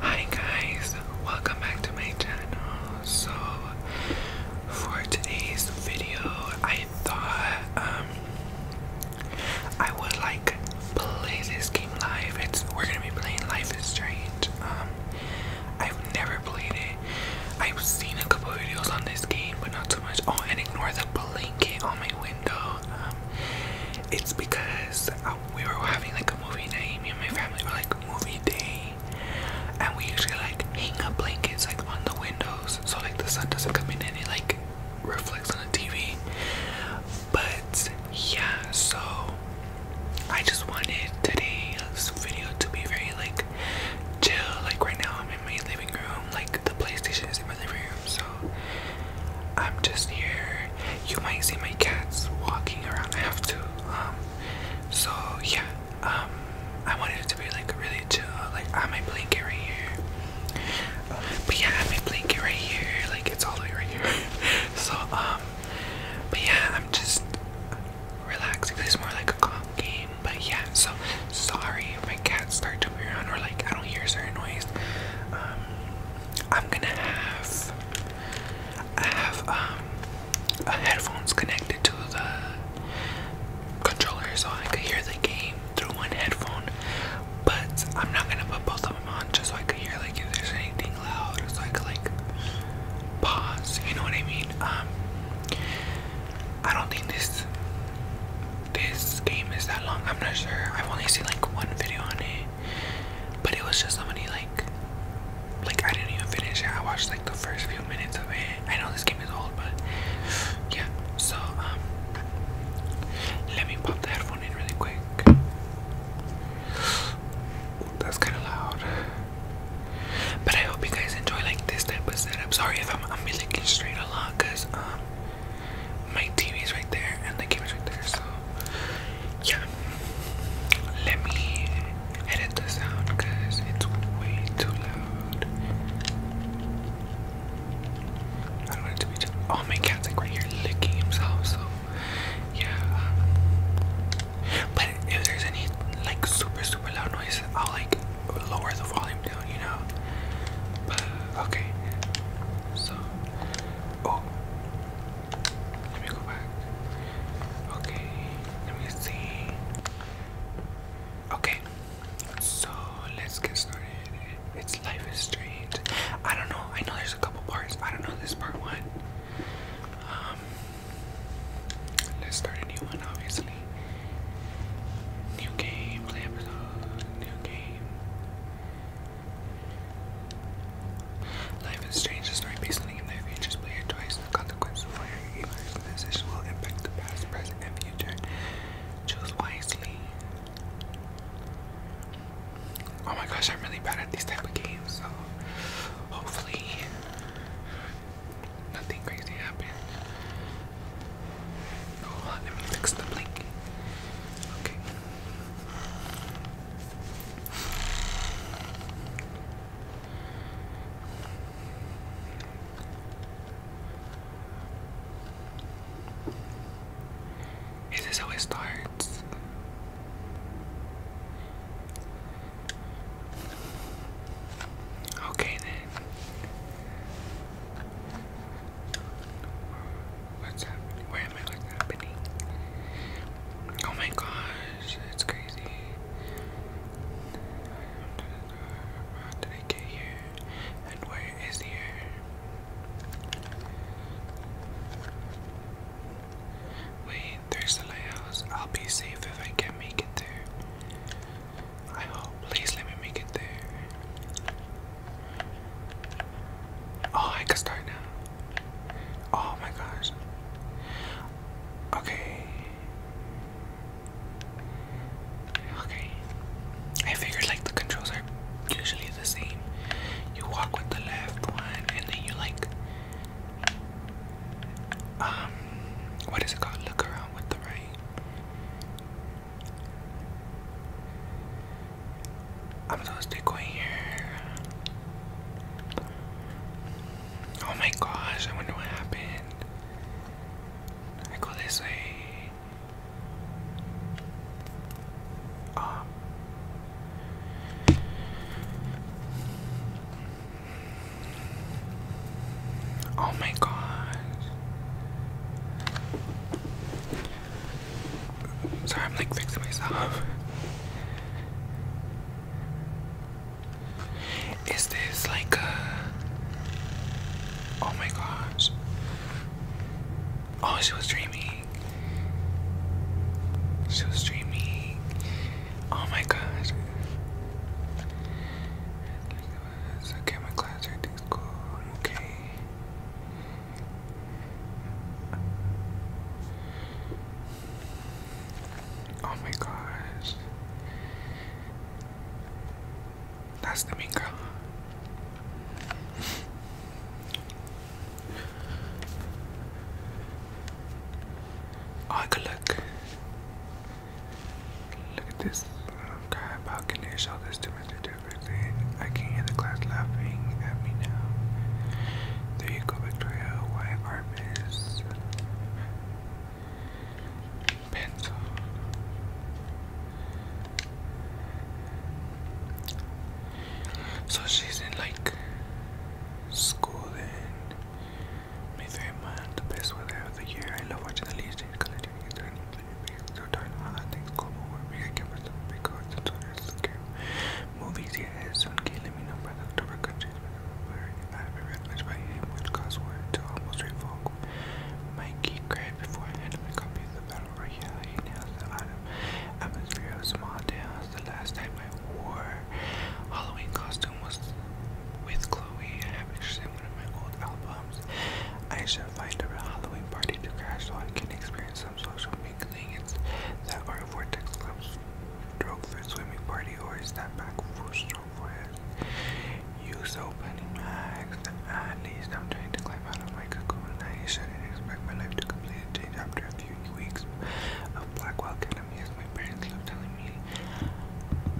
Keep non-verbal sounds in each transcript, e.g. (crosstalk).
Hi guys, welcome back to my channel. So for today's video, I thought um, I would like play this game live. It's we're gonna be playing Life is Strange. Um, I've never played it. I've seen a couple videos on this game, but not too much. Oh, and ignore the blanket on my window. Um, it's because uh, we were having like a movie night. Me and my family were like movie day, and we usually like hang up blankets like on the windows so like the sun doesn't come in and it like reflects on the TV. But yeah, so I just wanted today's video to be very like chill. Like right now, I'm in my living room. Like the PlayStation is in my living room, so I'm just here. You might see my cats walking around. I have to. Um. So yeah. Um. I wanted it to be like really chill. Like I have my blanket right here. But yeah, I have my blanket right here. Like it's all the way right here. (laughs) so um. But yeah, I'm just. Relax, relaxing. It's more like a calm game. But yeah, so sorry if my cats start to move around or like I don't hear certain noise. Um, I'm gonna have I have um, headphones connected to the controller so I could hear the game through one headphone. But I'm not gonna put both of them on just so I could hear like if there's anything loud, so I could like pause. You know what I mean? Um, I don't think this this game is that long. I'm not sure. I've only seen like one video on it, but it was just somebody like like I didn't even finish it. I watched like the first few minutes of it. I know this game is old, but yeah. So um, let me pop the headphone in really quick that's kind of loud. But I hope you guys enjoy like this type of setup. Sorry if I'm I'm be looking straight a lot, cause um my TV's right there and the camera's right there. So yeah, let me edit the sound, cause it's way too loud. I don't want it to be too. Oh, my cat's like right here licking himself. So yeah. But if there's any like super super loud noises, I'll like lower the volume down, you know. okay. So oh let me go back. Okay, let me see. Okay, so let's get started. It's Life is Strange. I don't know, I know there's a couple parts. I don't know this part one. Um, let's start a new one, obviously. New game, play episode, new game. Life is strange, the story based game that you play it twice. The consequences of your game will impact the past, present, and future. Choose wisely. Oh my gosh, I'm really bad at these type of games, so hopefully Nothing crazy happened. Oh, let me fix the blink. Okay. Is this how starts? Okay then. What's happening? Where am I? What's happening? Oh my gosh, that's crazy. How did I get here? And where is here? Wait, there's the lighthouse. I'll be safe if I can make it there. I hope. Please let me make it there. Oh, I can start now. Oh my gosh. Okay. Okay. I figured like the controls are usually the same. You walk with the left one and then you like um what is it called? Look around with the right. I'm supposed to go here. Oh my gosh, I wonder what happened. I go this way. Oh. Oh my god. Sorry, I'm like fixing myself. Is this like a. Oh my gosh. Oh, she was dreaming. She was dreaming. Oh my gosh. Okay, my class everything's cool. okay. Oh my gosh. That's the mean girl. Oh, good luck. Look at this um, guy balcony his shoulders to Mr. Jefferson. I can hear the class laughing at me now. There you go, Victoria. Why Armis? Pencil. So she's in like school then. Me three man, the best weather of the year. I love watching the leaves change color during the turning So darn hot, things go over. We can give us some big cards and soldiers. Okay. Movies, yeah, soon. Okay, let me know by the October countries. I haven't read much by him, which caused war to almost revoke. Mikey cried before I handed my copy of the Battle Royale. He nails the autumn atmosphere of small towns. The last time I wore Halloween costume was with Chloe I Havish in one of my old albums. I should find a Halloween party to crash so I can experience some social mingling. It's that our vortex comes stroke for swimming party or is that back full stroke for it? You opening max. At least I'm trying to climb out of my cocoon. I shouldn't expect my life to completely change after a few weeks of Blackwell problem my parents love telling me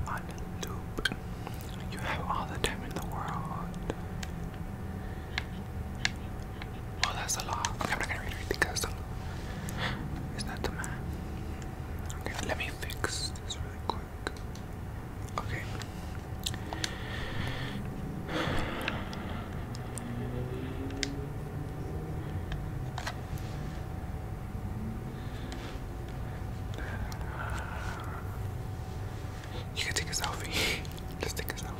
on loop, you have all the time in the world. Oh, that's a lot. Okay, I'm not gonna read it because it's not the man. Okay, let me fix this really quick. Okay. You can take a selfie. (laughs) Just take a selfie.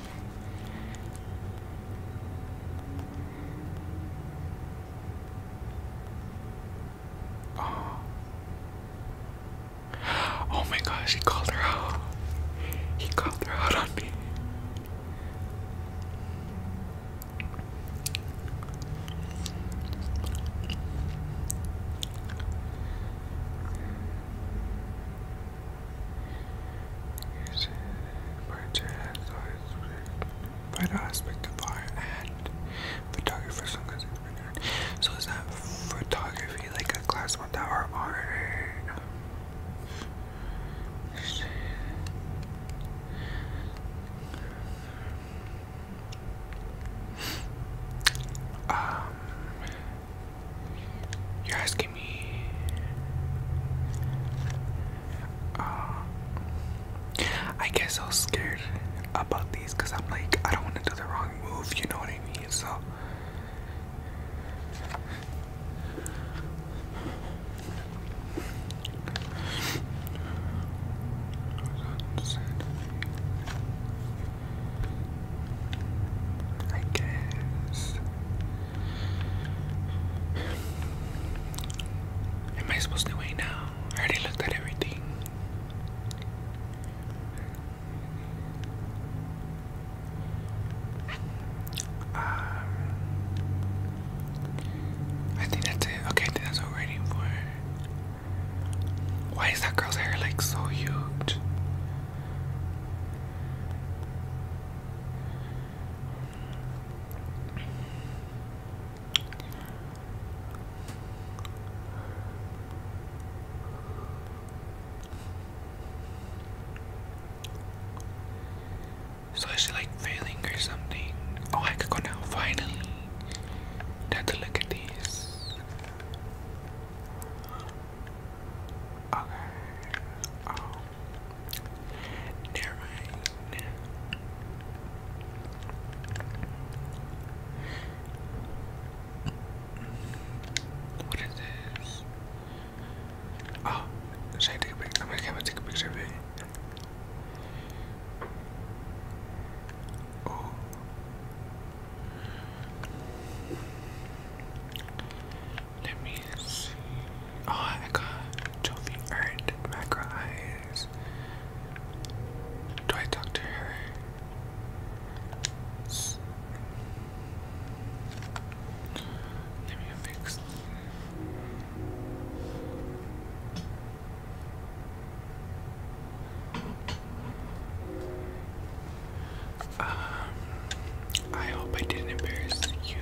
Oh. oh my gosh, he called her out. He called her out on me. Use it by jazz aspect of art photography. So is that photography like a class one that art? Um, you're asking me. Uh, I get so scared about these because I'm like, I don't want to do the wrong move, you know what I mean? So. I guess. Am I supposed to wait now? I already looked at everything. Um, I think that's it. Okay, I think that's what we're waiting for. Why is that girl's hair like so huge? So is she like failing or something? Oh, I could go now, finally. have to look at these. Okay. Oh. Never mind. What is this? Oh, should I take a picture? I'm going take a picture of it. Oh. Let me see. Oh, I got Jovi earned macro eyes. Do I talk to her? Let me fix. Um, I hope I didn't embarrass you.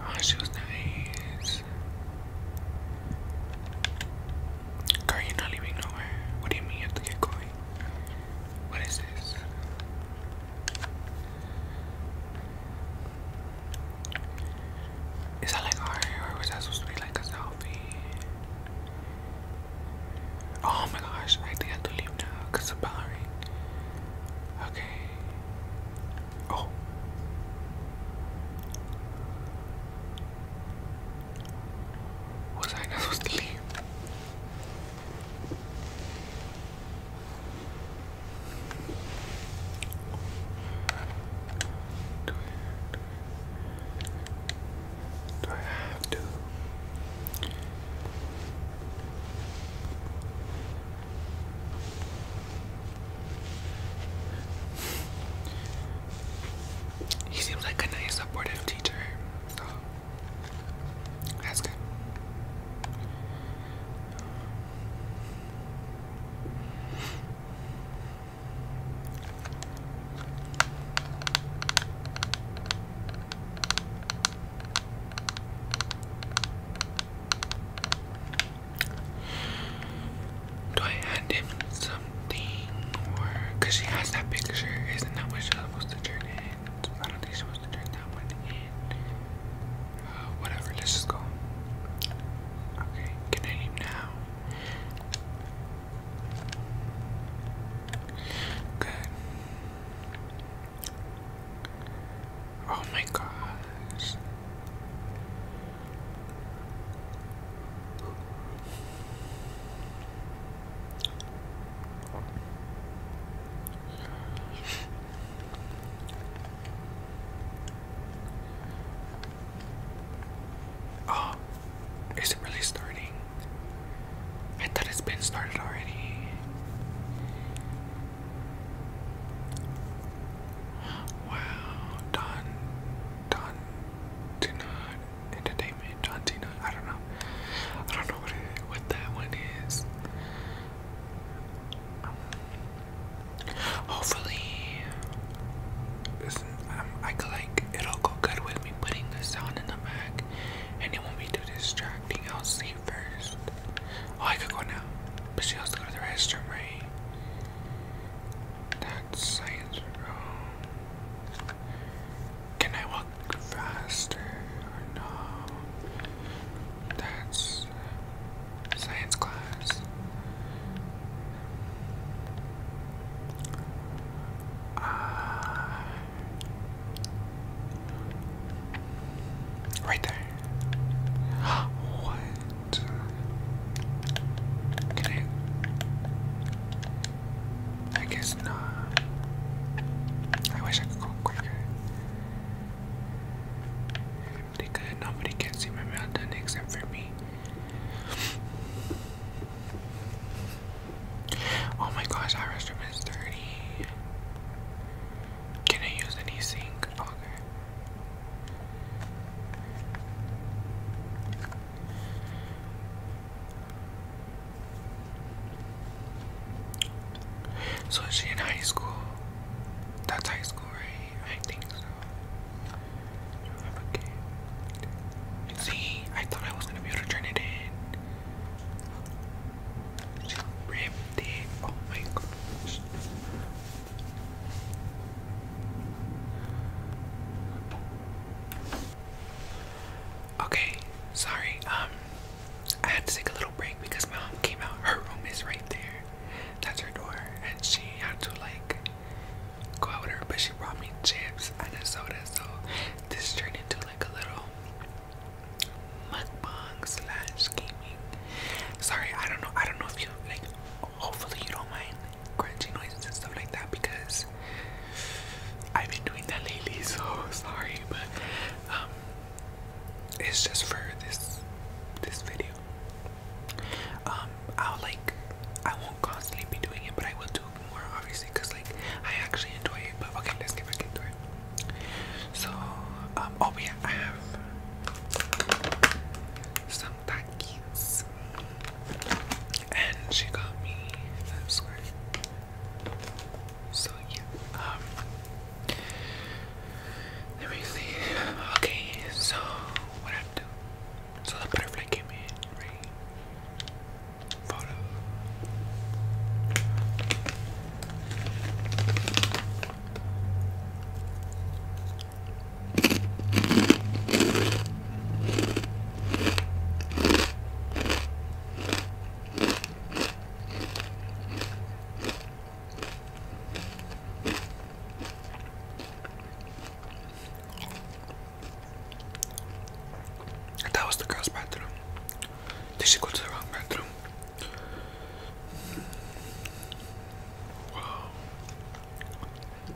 Oh, she was nice. Car, not leaving nowhere. What do you mean you have to get going? What is this? Is that like art or was that supposed to be like a selfie? Oh my gosh, I think I have to leave now because of bell Okay. Oh. Was I not supposed to leave? do I have to? He seems like a nice, supportive teacher, so that's good. Do I hand him something or she has that picture? Isn't that what she's supposed to turn in? I don't think she's supposed to turn that one in. Uh, whatever, let's just go. Okay, can I leave now? Good. Oh my gosh. Oh, is it really starting? I thought it's been started already. Wow, done. Don Tina Entertainment, John Tina, I don't know. I don't know what what that one is. hopefully, this, I could like it'll go good with me putting the sound in the back, and it won't be too distracting. I'll see first. Oh, I could go now, but she has to go to the restroom, right? That's science wrong. Can I walk faster or no? That's science class. Uh, right there. (gasps) what? Can I? I guess not. I wish I could go quicker. Really Nobody can see my mountain except for me. Oh my gosh, our restroom is dirty. Can I use any sink? So she in high school? That's high school, right? I think so. See, I thought I was gonna be able to turn it in. She it. Oh my gosh. Okay, sorry. Um, I had to take a little break because my mom came out. Her room is right there. That's her door, and she had to like go out with her. But she brought me chips and a soda, so this turned into like a little mukbang slash gaming. Sorry, I don't know. I don't know if you like. Hopefully, you don't mind crunchy noises and stuff like that because I've been doing that lately, (laughs) so sorry, but um it's just for this this video. Um I'll like I won't constantly be doing it but I will do it more obviously because like I actually enjoy it but okay let's get back into it. So um oh yeah I have some takis and she got me that squirt. So yeah, um, let me see. Okay, so what I do? So the butterfly came in, right? Follow. That was the girl's bathroom. Did she the wrong bathroom? Wow.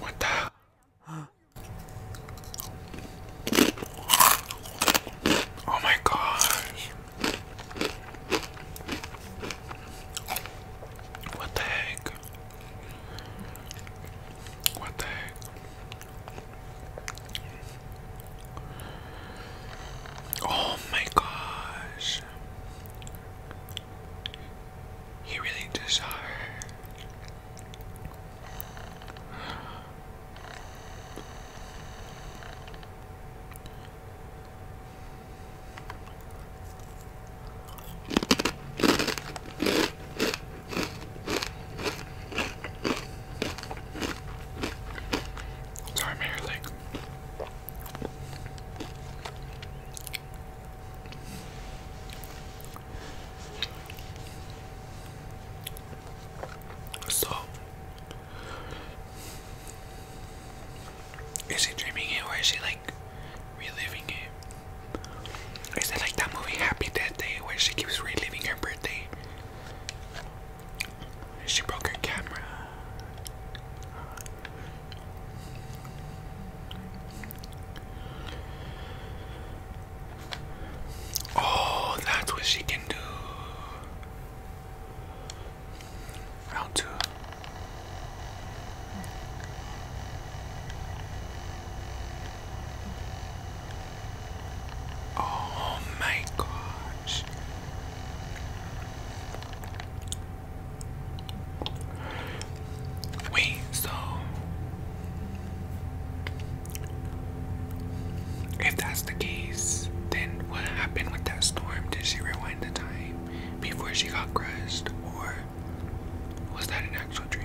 What the? Oh my gosh. What the heck? What the heck? Oh my gosh. He really just Sorry, i So, is he dreaming it or is he like reliving it? Is it like that movie Happy Death where she keeps reliving her birthday? She broke her camera. Oh, that's what she can do. Round two. Oh my gosh. Wait, so if that's the case, then what happened with that storm? Did she rewind the time before she got crushed, or was that an actual dream?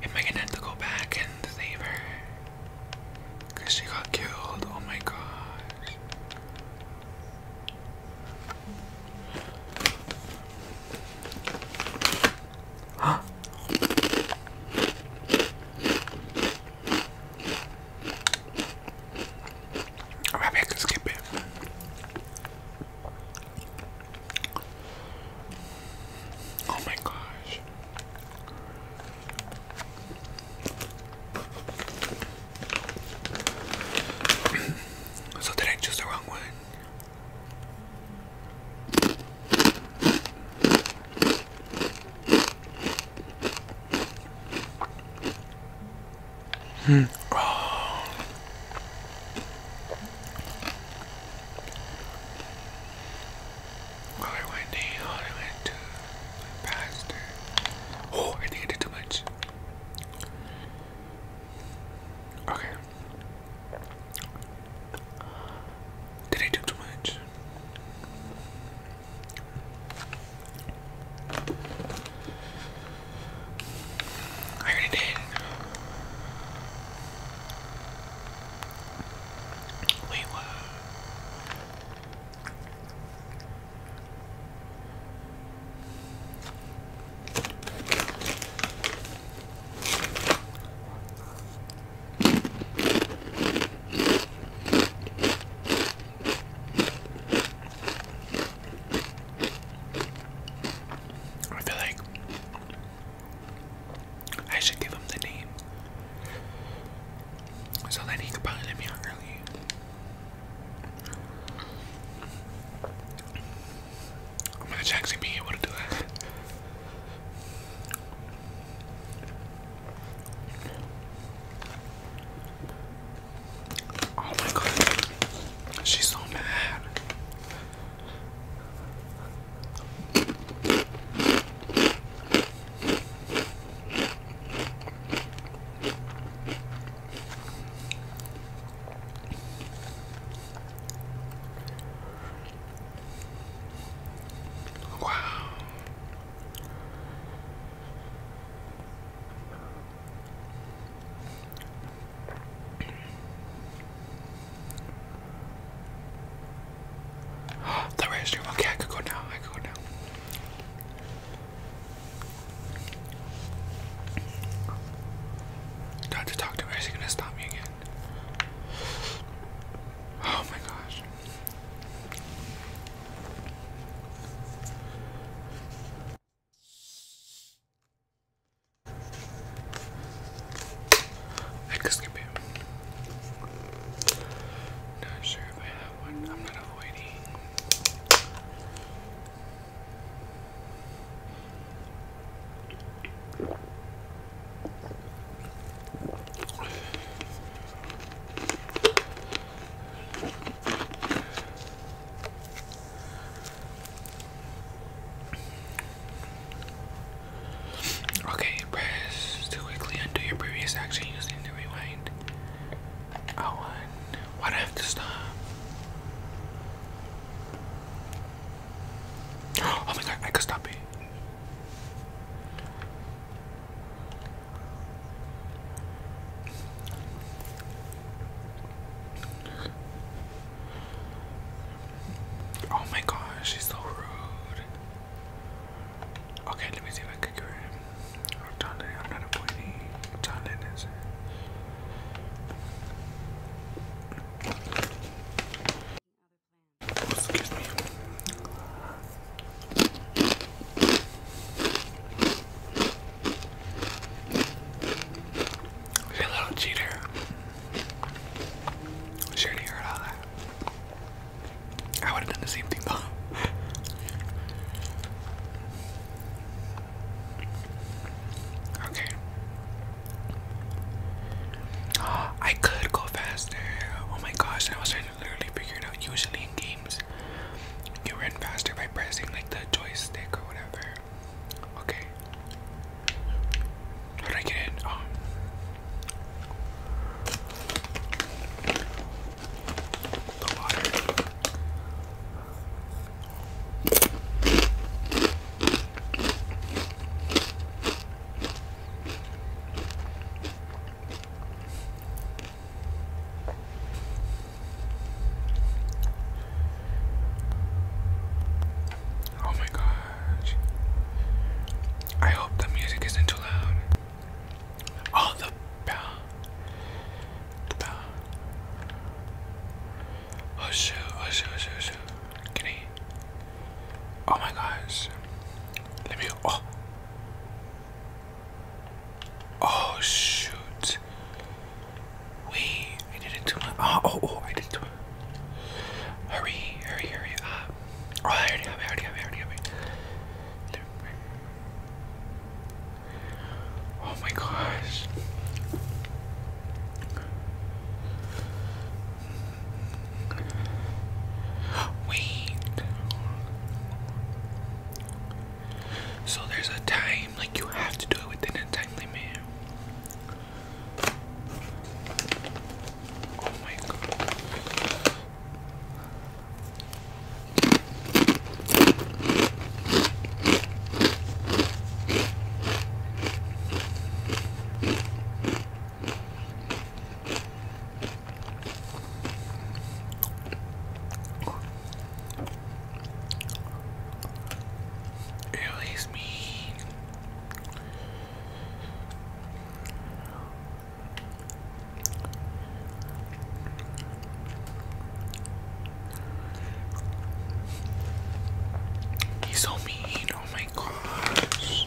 Am I gonna have to go back and save her? Cause she got killed. Oh my gosh. Or maybe I can skip Oh my gosh. (clears throat) so did I choose the wrong one? Hmm. Oh. Holy Wendy, holy Wendy, my pastor. Oh, I think I did too much. Okay. Did I do too much? I already did. Wait, what? I feel like I should give him the name so that he could probably let me early. I'm going able to do that. Oh my god, she's so mad. Wow. The restroom. Okay, I could go now. I could go now. Got to talk to her. Is gonna stop me again? Oh my gosh. I could skip it. Not sure if I have one. I'm not avoiding. Okay, press to quickly undo your previous action using the rewind. I oh, won. Why do I have to stop? (gasps) Oh my god, I could stop it. Oh my gosh, she's so rude. Okay, let me see if I can get her in. i I'm not a pointy you little cheater. Sure to hear all that. I would have done the same thing though. okay. (gasps) I could go faster. Oh my gosh, that was literally figured out usually in games you run faster by pressing like the joystick or whatever. Okay. How do I get in? Oh. The water. Oh my gosh. I hope the music isn't too loud. Oh, the bell. The bell. Oh shoot, oh shoot, oh shoot, oh Oh my gosh. Let me, oh. Oh shoot! Wait, I did it too much. Oh, oh, oh, I did too much. Hurry, hurry, hurry up! Uh, oh, I already have it, I already have Oh my gosh! (gasps) Wait. So there's a time, like you have to do it within a time limit. Oh my god. It leaves me. He's so mean, oh my gosh.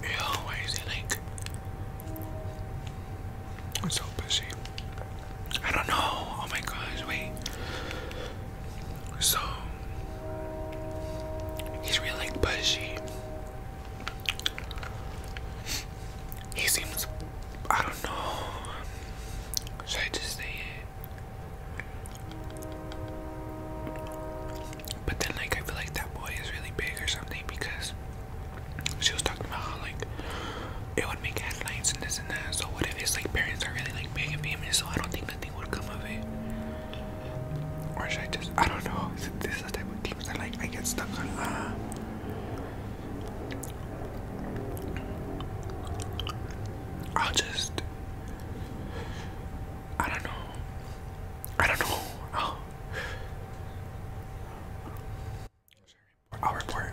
Yo, why is I'm so busy. I don't know. Oh my gosh, wait. So he's really like bushy. He seems I don't know. Should I just say it? But then like I feel like that boy is really big or something because she was talking about how like it would make headlines and this and that. So what if his like parents are really like big and famous? So I don't think nothing would come of it. Or should I just I don't know. This is the type of things that like I get stuck on. Uh, I'll just I don't know. I don't know. Oh. I'll report.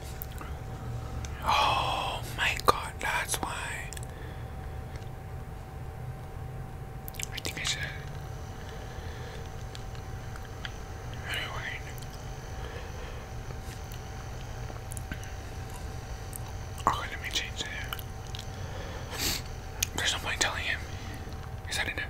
Oh my god, that's why. I think I should. Anyway. Okay, let me change it. There's no telling him. Is that enough?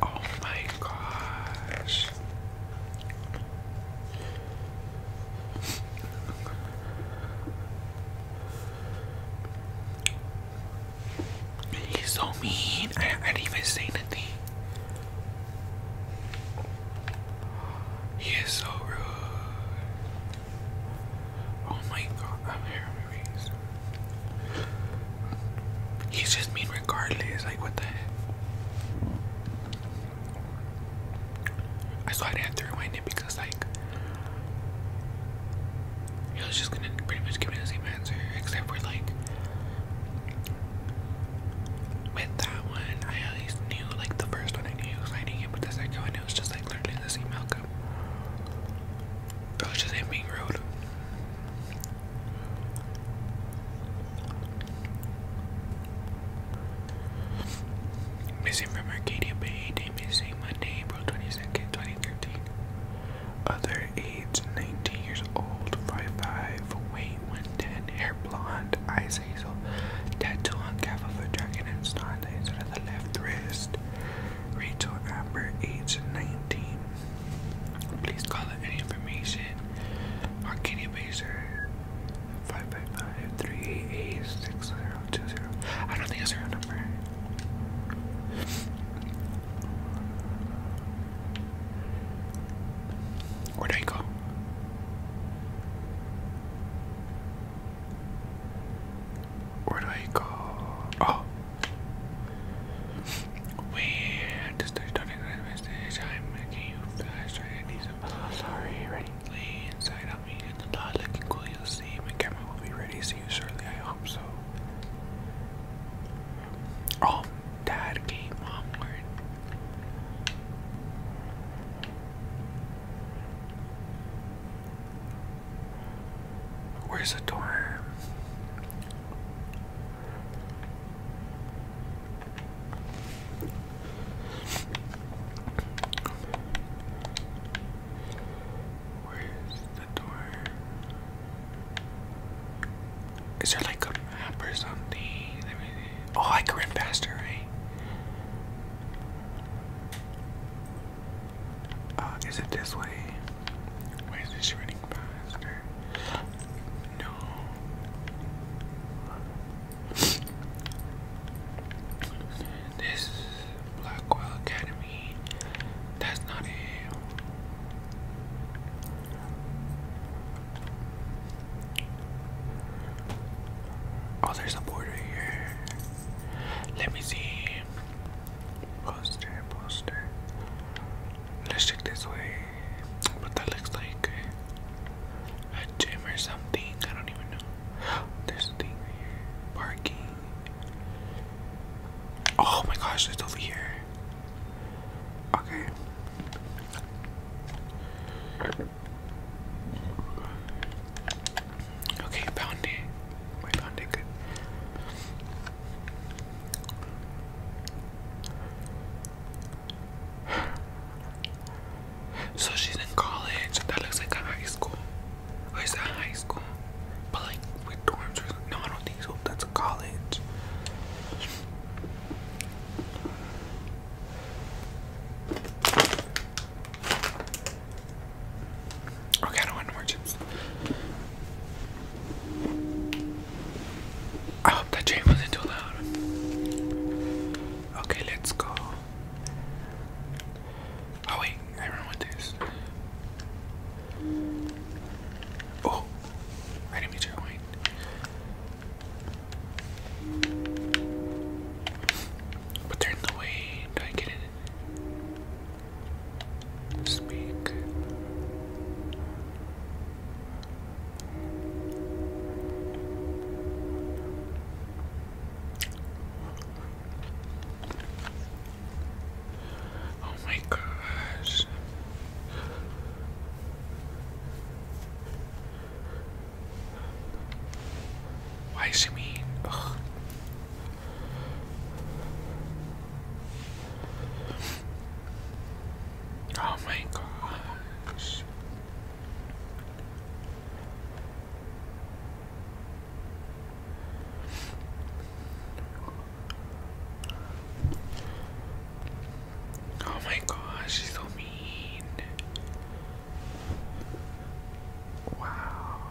Oh my gosh. He's so mean. I, didn't even say nothing. He is so rude. Oh my god, I'm hair movies. He's just mean regardless, like what the heck? I saw I didn't have to rewind it because like he was just gonna pretty much give me the same answer except for like with that one I at least knew like the first one I knew he was hiding it but the second one it was just like literally the same outcome approaches a Missing from Arcadia Bay, day missing Monday, April 22nd, 2013. Other aides, 19 years old, five 5'5, weight 110, hair blonde, eyes hazel, tattoo on calf of a dragon and snot laser of the left wrist. Rachel Amber, age 19. Please call out any information. Arcadia Baser, 555-388-6020. I don't think that's her number. Where'd I go? Where do I go? Oh, we had to start starting the railway I'm making you fast. Right? I need some. Oh, sorry, ready? Lay inside on me. It's not looking cool. You'll see. My camera will be ready. See you shortly. I hope so. Oh, Dad came onward. Where's the time? Where's the door? Is there like a map or something? Oh, I can run faster, right? Uh, is it this way? Why is this running faster? No. This Blackwell Academy. That's not it. Oh, there's a border here. Let me see. Poster, poster. Let's check this way. But that looks like a gym something. I don't even know. There's thing here. Parking. Oh my gosh, it's over here. Okay. Okay, found it. We found it good. So she's in college. That looks like a high school. Or oh, is high school? But like with dorms or not think so. That's college. Okay, I want no I hope that chain wasn't too loud. Okay, let's go. Oh wait, I do this. Oh, I didn't But they're in the way. Do I get it? Speak. Oh my gosh. Why is she mean? Oh my gosh. Oh my gosh, she's so mean. Wow.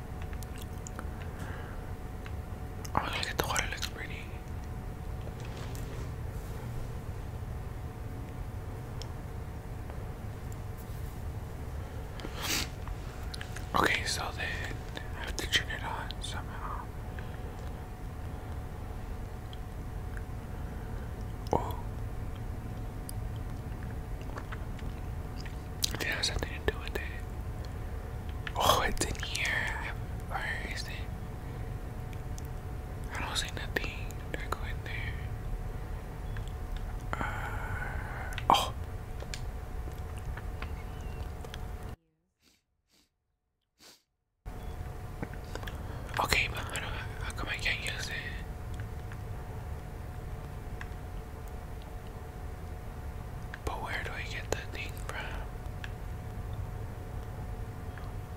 Oh, look at the water, looks pretty. Okay, so then I have to turn it on somehow. Oh, it has something to do with it. Oh, it's in here. Where is it? I don't see nothing. I go in there? Uh, oh. Okay, but How come I can't use it? But where do I get that thing from?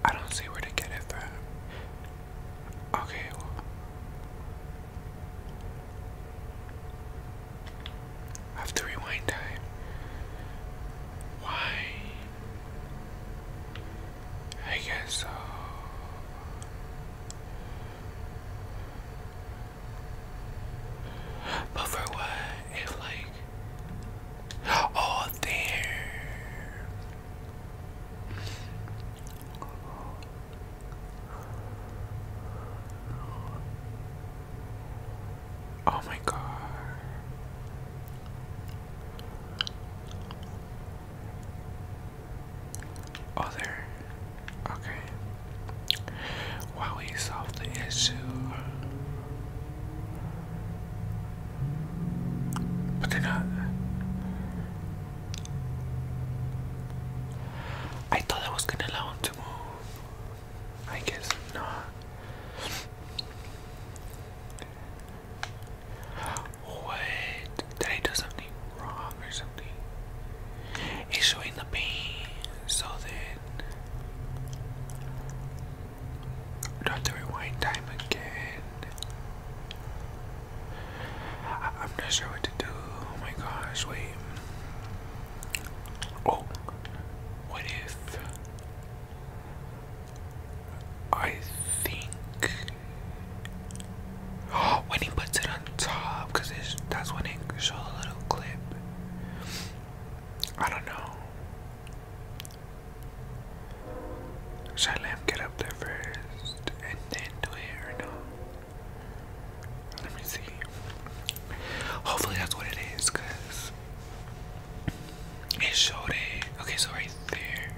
I don't see where to get it from. Okay, have to rewind time. Why? I guess so. But for what? It's like all there. Oh my god. Oh, Okay. While we solve the issue. But they're not. I thought I was gonna allow him to move. I guess not. Wait, did I do something? something wrong or something. It's showing the pain so that time again. I I'm not sure what to do. Oh my gosh, wait. Oh, what if I think (gasps) when he puts it on top, that's when it shows a little clip. I don't know. Should I let him get up there first and then do it or no? Let me see. Hopefully that's what it is, cause it showed it. Okay, so right there.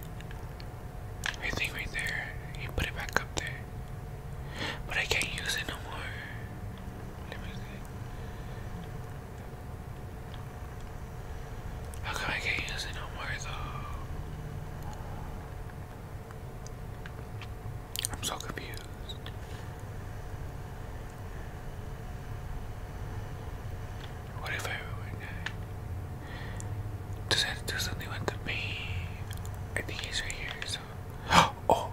I think right there. You put it back up there. But I can't use it no more. How come I can't use it no more though? I'm so confused. What if I do something with me? I think he's right here, Oh.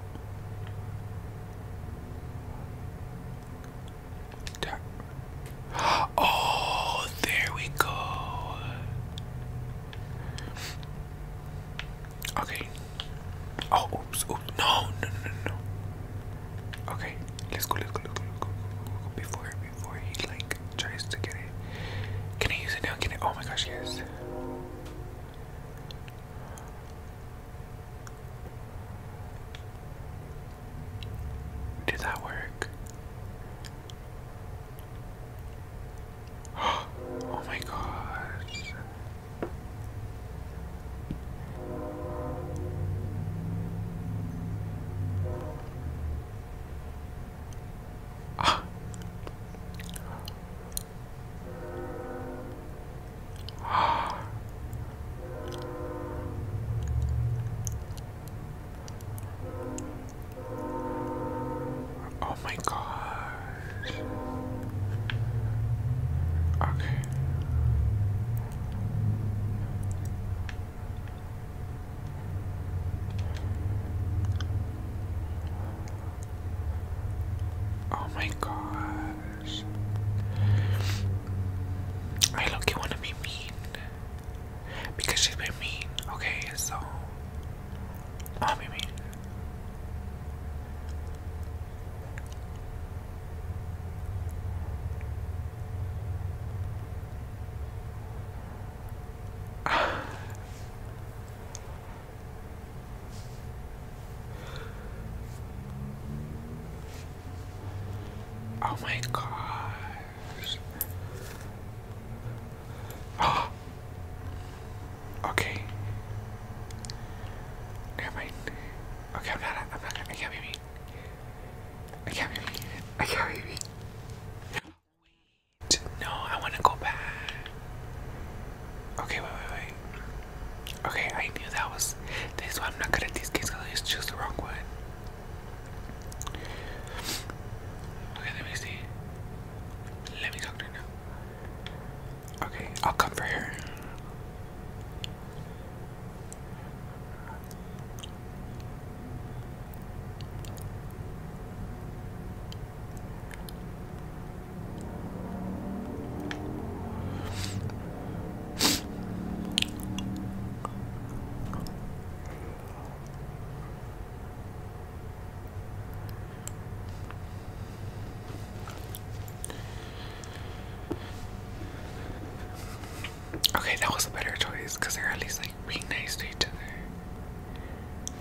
Oh, there we go. Okay. Oh, oops, oops. No, no, no, no, Okay, let's go, let's go, let's go, let's go, let's go. Before, before he like tries to get it. Can I use it now? Can I? Oh my gosh, yes. Did that work? Oh my god! Ah. (gasps) Oh my god! Okay. Oh my gosh. I look you wanna be mean. Because she's been mean. Okay, so I'll be mean. Oh my God! Oh. (gasps) Okay. Never mind. Okay, I'm not I'm not I can't be mean. I can't be I can't be no, I want to go back. Okay, wait, wait, wait. Okay, I knew that was this one. I'm not good at these games because I just choose the wrong one. Okay, let me see. Let me talk to her now. Okay, I'll come for her. Okay, that was a better choice because they're at least like being nice to each other. (gasps)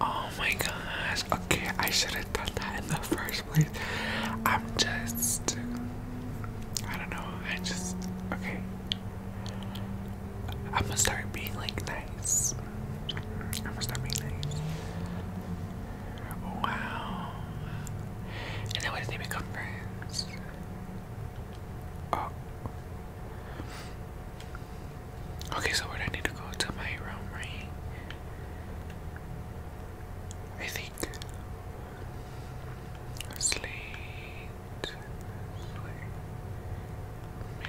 Oh my gosh. Okay, I should have done that in the first place. I'm just. I don't know. I just. Okay. I'm gonna start being like nice. I'm gonna start being nice. Wow. And then what did they become friends? Oh. Okay, so I need to go to my room, right? I think. Slate. Slate.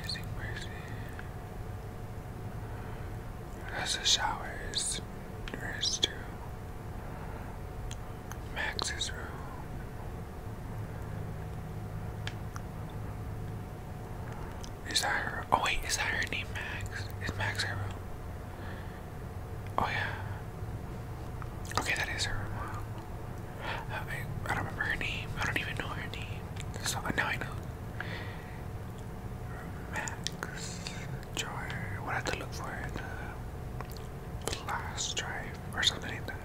Missing person. That's the uh, showers. There is to Max's room. Is that her? Oh wait, is that her name, Max? Is Max her Oh yeah. Okay, that is her I don't remember her name. I don't even know her name. So now I know. Max drive. What I have to look for the flash drive or something like that.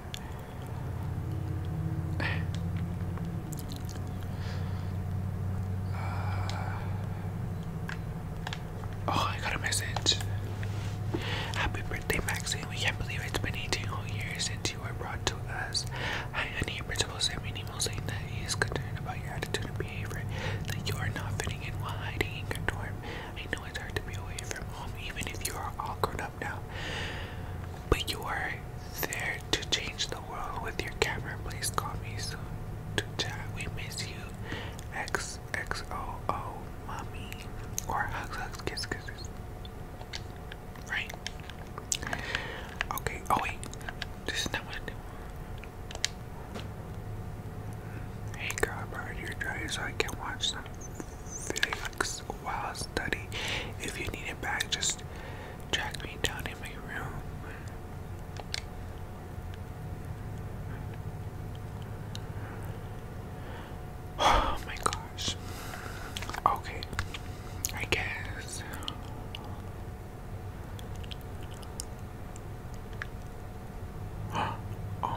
(sighs) oh, I got a message. Happy birthday, Maxine. We can't believe it's been 18 whole years since you were brought to us. Hi, principal sent me an saying that he concerned about your attitude and behavior, that you are not running while hiding in your dorm. I know it's hard to be away from home, even if you are all grown up now. But you are there to change the world with your camera. Please call me soon to chat. We miss you. X X O O mommy or hugs hugs kiss kisses. Right. Okay. Oh wait. This is not what I do. Hey Copper, you're dry so I can watch some Felix while I study. If you need it back, just track me down in my room. Oh my gosh. Okay. I guess. (gasps) Oh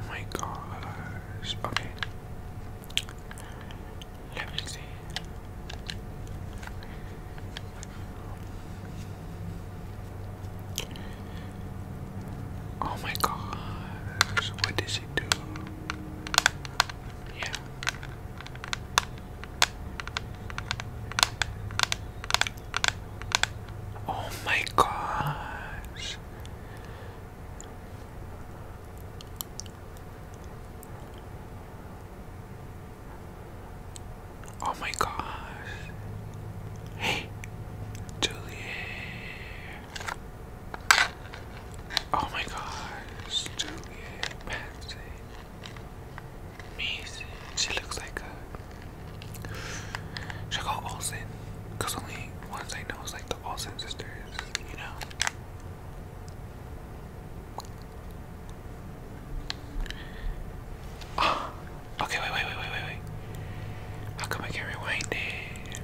my gosh. Okay. Let me see. Oh my gosh. What did she do? Yeah. Oh my gosh. Oh my gosh. Hey, Juliet. Oh my gosh, Juliet, Patsy. Amazing. She looks like a should I call Olsen? Because only ones I know is like the Olsen sisters, you know? Oh, (gasps) okay, wait, wait, wait, wait, wait, wait. How come I can't rewind it?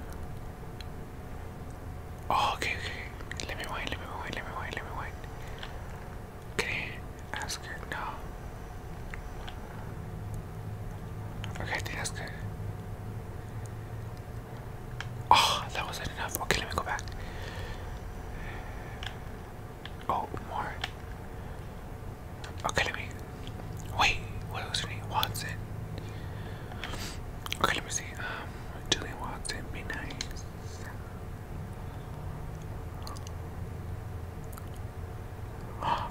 Oh, okay, okay. Let me rewind, let me rewind, let me rewind, let me rewind. Can you ask No. Okay, that's good. Oh, that wasn't enough. Okay, let me go back. Oh, more. Okay, let me. Wait, what was her name? Watson. Okay, let me see. Um, Julian Watson, be (gasps) wow.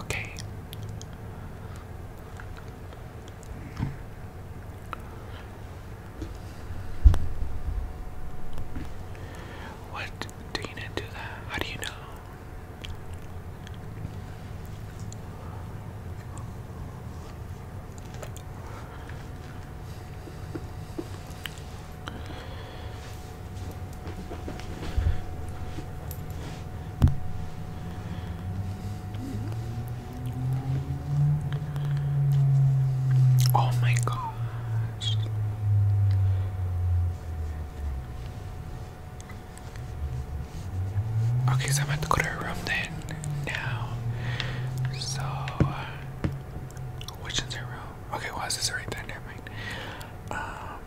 Okay. What do you not do that? How do you know? Oh, my gosh. Okay, so I'm about to go to her room then now. So, which is her room? Okay, why is this right there? Never mind. Um,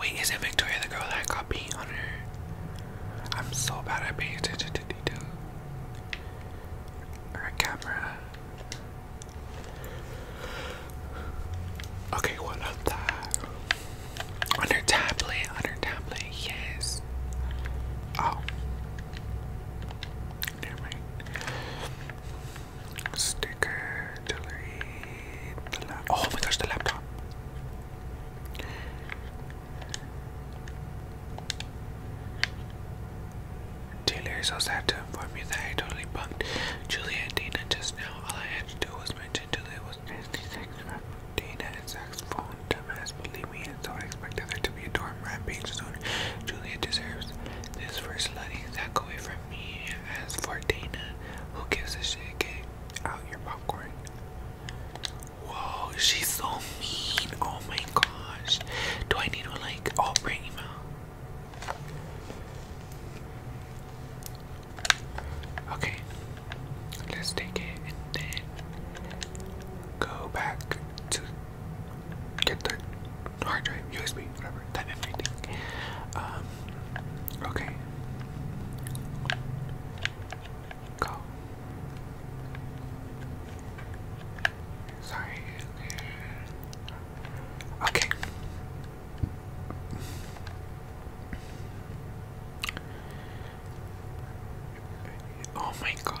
wait, isn't Victoria the girl that got paint on her? I'm so bad at paying attention to detail. Her camera. Okay, what that? On her tablet, on her tablet, yes. Oh. Sticker to Oh my gosh, the laptop. Taylor is so sad to inform you that I totally bumped Julia and Dana just now. All I had to do was mention Julia was nasty Dana and Zach's phone dumbass. Believe me, so I expected there to be a dorm rampage soon. Julia deserves this first slutty sack away from me. As for Dana, who gives a shit? Get out your popcorn. Whoa, she's so mean. Oh my gosh. Do I need to like open oh, email? Okay, let's take it and then go back to get the hard drive, USB, whatever, that everything. Um, okay. Go. Sorry. Okay. Oh my god.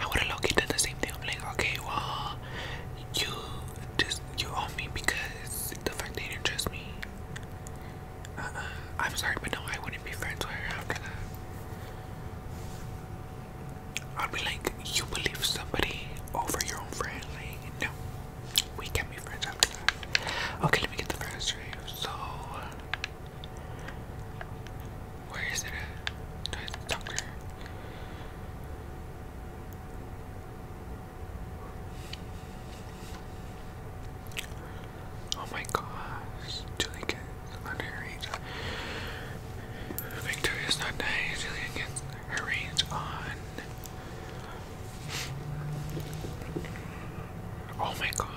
I would have low did the same thing. I'm like, okay, well, you just you owe me because the fact that you didn't trust me. Uh-uh. I'm sorry, but no, I wouldn't be friends with her after that. I'd be like, you believe somebody over your own friend? Like, no, we can't be friends after that. Okay, let me get the first review. So, where is it at? Do Oh my gosh, Julie gets under Victoria's not dying, Julia gets her on. Oh my gosh.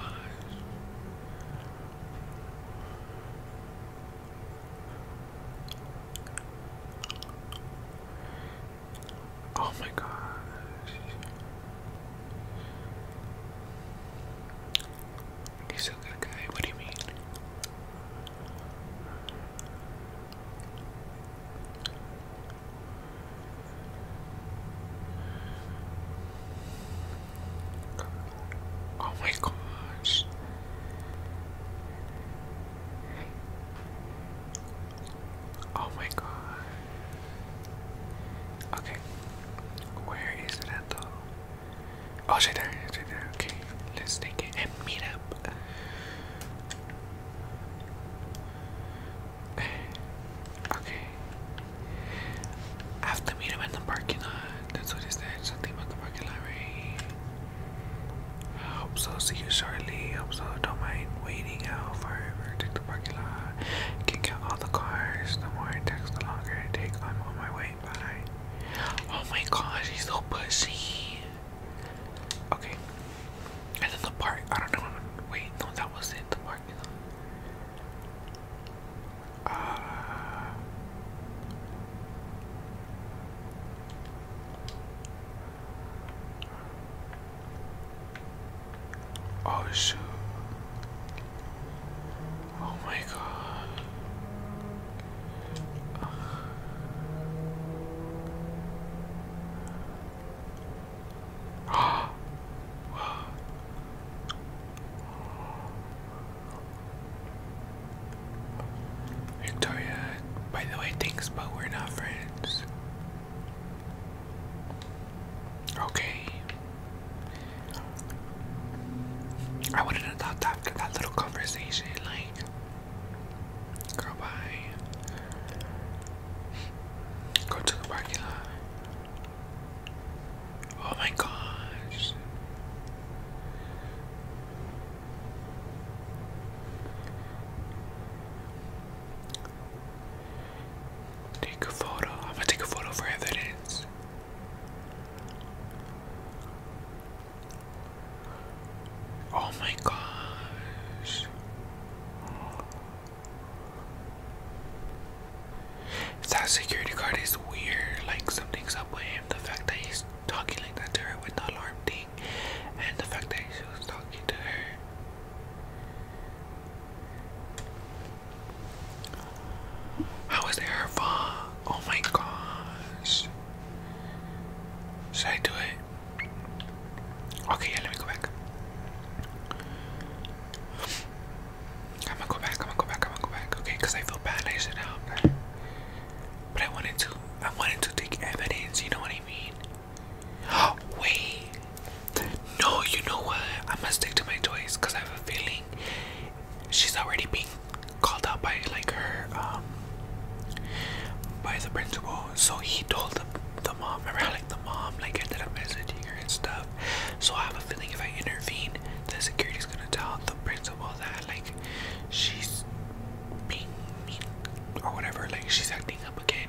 Oh my God! He's still good guy, what do you mean? Oh my gosh. Oh my god. Okay. Where is it though? Oh, it's right there. there. Okay. Let's take it meet up. Okay. I have meet him in the parking lot. That's what it said. Something about the parking lot, right? I hope so. See you shortly. Hope so. Don't mind waiting out forever. Take the parking lot. Can count all the cars. The more it takes, the longer it takes. I'm on my way. Bye. Oh my gosh, he's so pushy. Okay. And then the park. I don't know. Wait, no, that was it. The parking lot. Uh, Oh shoot. Oh my god. Uh. Victoria, by the way, thanks, but we're not friends. Okay. I wouldn't have thought that after that little conversation, like, girl, bye. Go to the parking lot. Oh my gosh. Take a photo. I'm gonna take a photo for evidence. Oh my gosh. That security guard is weird. Like something's up with him. The fact that he's talking like that to her with the alarm ding, and the fact that she was talking to her. How is it Oh my gosh. Should I do it? Okay, yeah, let me go back. I'm go back, I'm go back, I'm go back. Okay, I feel bad, I should help her. But I wanted to I wanted to take evidence, you know what I mean? Oh, (gasps) wait. No, you know what? I must stick to my choice because I have a feeling she's already being called out by like her um by the principal. So he told the the mom, remember how like the mom like ended up messaging her and stuff. So I have a feeling if I intervene, the security's gonna tell the principal that like she's being mean or whatever, like she's acting up again,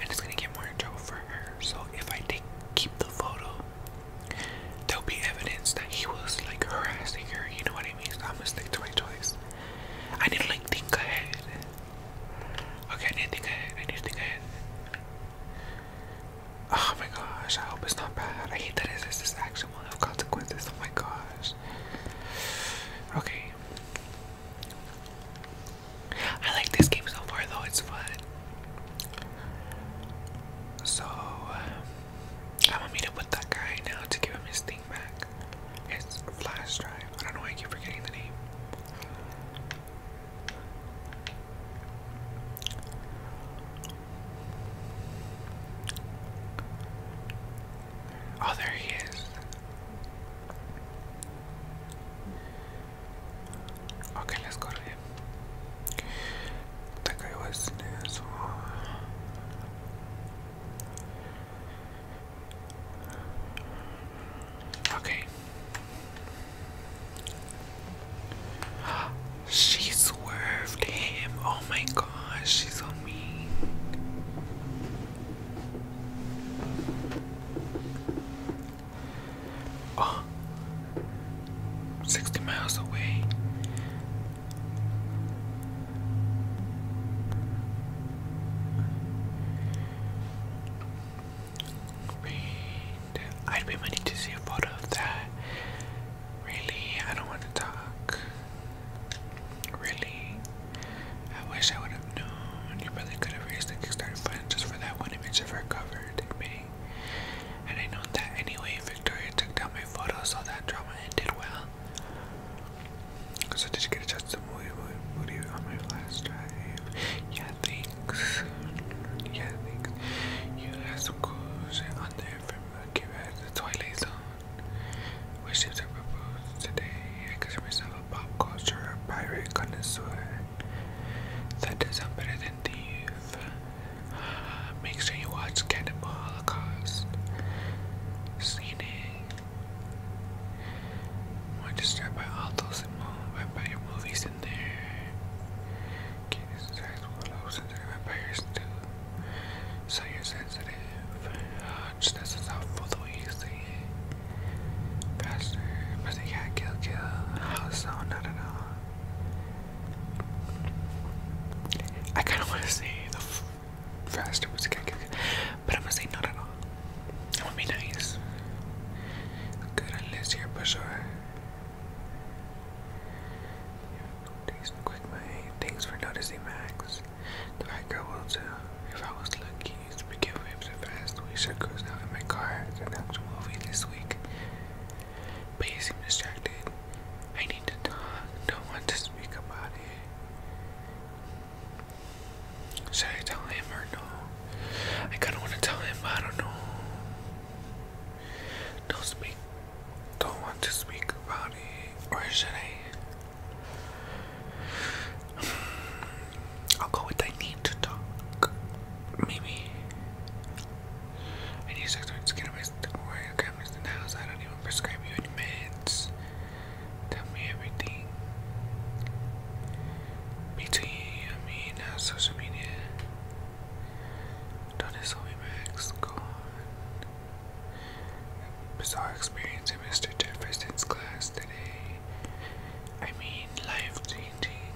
and it's gonna get more in trouble for her. So if I take keep the photo, there'll be evidence that he was like harassing her. You know what I mean? So I'm gonna stick to my I didn't like think ahead. Okay, I didn't think ahead. I didn't think ahead. Oh my gosh! I hope it's not bad. I hate that. Is this this action it consequences. Oh my gosh. Okay. I like this game so far though, it's fun. So, I'm gonna meet up with that guy now to give him his thing back. His flash drive. I don't know why I keep forgetting the name. Oh, there he is. Okay, let's go to him. That Okay. She swerved him. Oh my gosh, she's on me. Oh, miles away. Wait, I'd be money to see a photo of that. Really, I don't want to talk. Really? I wish I would have known. You really could have raised the Kickstarter fund just for that one image of her cover, did me. And I know that anyway, Victoria took down my photo, so that drama ended well. So did you get a movie movie on my last drive? Yeah, thanks. Yeah, thanks. You had some cool shit on there from Give It the Twilight Zone. We Which is proposed today, I consider myself a pop culture pirate connoisseur That is does better than thief. (sighs) Make sure you watch Cannibal Holocaust. Seen it. More disturbed by all those vampire movies in there. Can't okay, decide what I was vampires do. So you're sensitive. Just just, this is how full easy. Faster. But they can't kill, kill. Oh, so not at all. I kind of want to say the faster was kill, kill, kill. But I'm going to say not at all. That would be nice. Good unless you're for sure. Thanks, quick mate. Thanks for noticing, Max. The right girl will If I was lucky, we can whip so fast. We should cruise out in my car. It's an movie this week. But you seem distracted. I need to talk. Don't want to speak about it. Should I tell him or no? I kind of want to tell him, but I don't know. No speak don't want to speak about it, or should I? I'll go with I need to talk. Maybe. I need to start to get away where your grandma's in the house. I don't even prescribe you any meds. Tell me everything. Between, I mean, uh, social media. Don't assault me, Max. Go on. Bizarre experience in Mr. Jefferson's class today. I mean, life changing.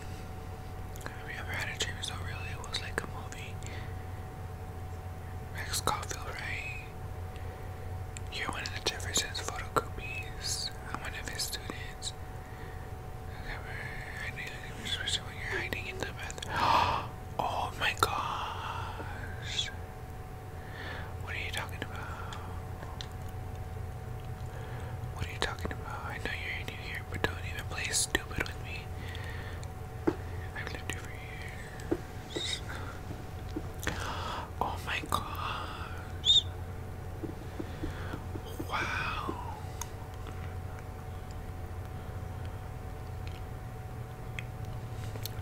Have you had a dream so real it was like a movie? Rex Caulfield, right? You're one of the Jefferson's photocopies. I'm one of his students. I I knew you were hiding in the bathroom. (gasps) Oh, Oh my gosh. What are you talking about? What are you talking about? I know you're new here, but don't even play stupid with me. I've lived here for years. Oh my gosh. Wow.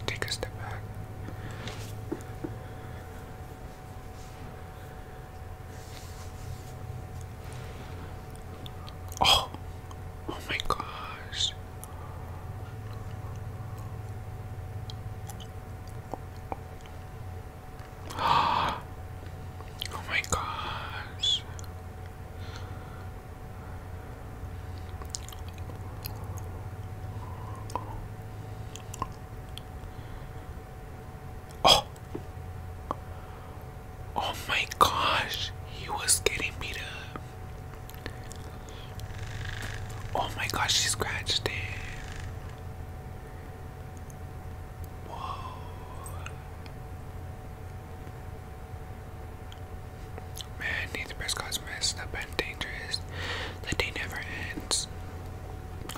Take a step back. Oh, oh my gosh. (gasps) Oh my gosh. Oh. Oh my gosh. He was getting beat up. Oh my gosh, he scratched it. Whoa. Man, neither Prescott's messed up and dangerous. The day never ends.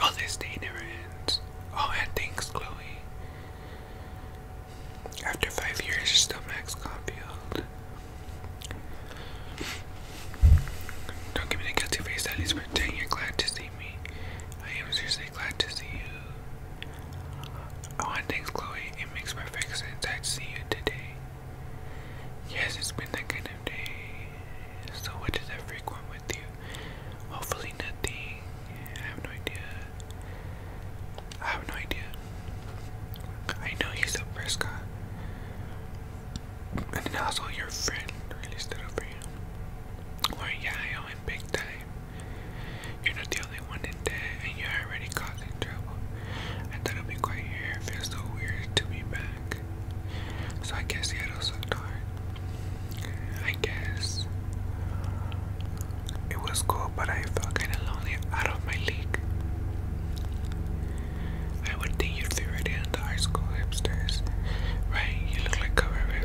Oh, this day never ends. Oh, thanks, Chloe. After five years, still Max Caulfield. Don't give me the guilty face, at least pretend you're glad to see me. I am seriously glad to see you. Oh, thanks, Chloe. It makes perfect sense I'd see you today. Yes, it's been that kind of day. So, what does that freak one with you? Hopefully, nothing. I have no idea. I have no idea. I know he's a Prescott. And then also your friend really stood up for you. Or yeah, I big time. You're not the only one in debt and you're already causing trouble. I thought it'd be quite here. feels so weird to be back. So I guess Seattle sucked hard. I guess it was cool, but I felt kind of lonely out of my league. I would think you'd fit right into high school hipsters, right? You look like cover At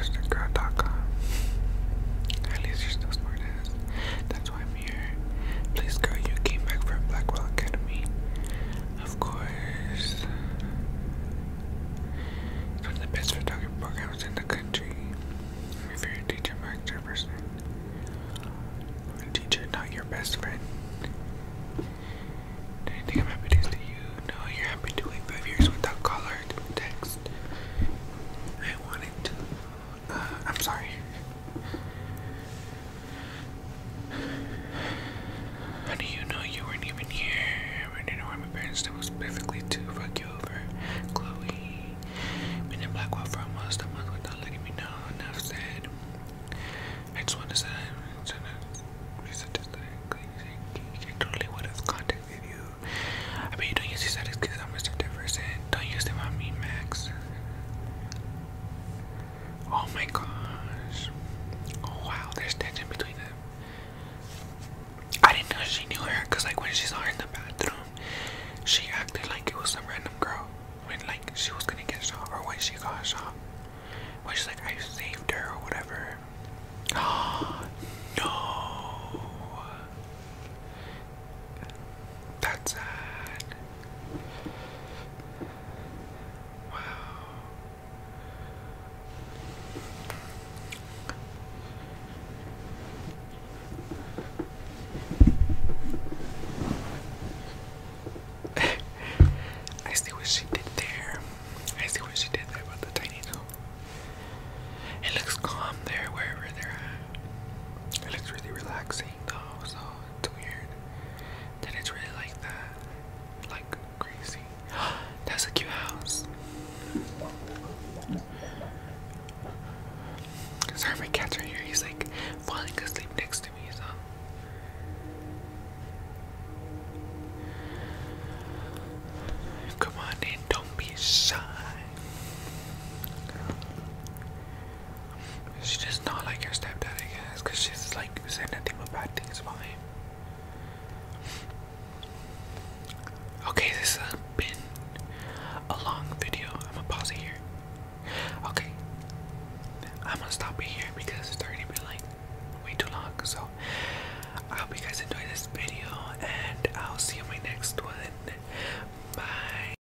least you're still smart That's why Please, girl, you came back from Blackwell Academy. Of course. It's the best photography programs in the country. i favorite teacher, Mark Jefferson. I'm teacher, not your best friend. Do you think I'm happy to see you? No, you're happy to wait five years without collar to text. I wanted to I'm sorry. How do you know you weren't even here? I didn't warn my parents that was perfectly to fuck you over. Chloe, been in Blackwell for almost a month without letting me know. Enough said. I just want to say, I totally would have contacted you. I bet don't use these excuses on Mr. Diverson. Don't use them on me, Max. Oh my gosh. Oh wow, there's tension between them. I didn't know she knew her because like when she saw her in the bathroom, she acted like it was some random girl. When like she was gonna get shot or when she got shot. When she's like, I saved her or whatever. Oh (gasps) no. That's sad. Wow. (laughs) I see what she did there. I see what she did there about the tiny toe. It looks calm there wherever they're at. It looks really relaxing though, so it's weird that it's really like that. Like crazy. (gasps) That's a cute house. Sorry, my cat's right here. He's like falling asleep next to me, so. Come on in, don't be shy. She just not like your stepdad, I guess, because she's like saying nothing but bad things about him. Okay, this has been a long video. I'm gonna pause it here. Okay, I'm gonna stop it here because it's already been like way too long. So, I hope you guys enjoy this video, and I'll see you in my next one. Bye.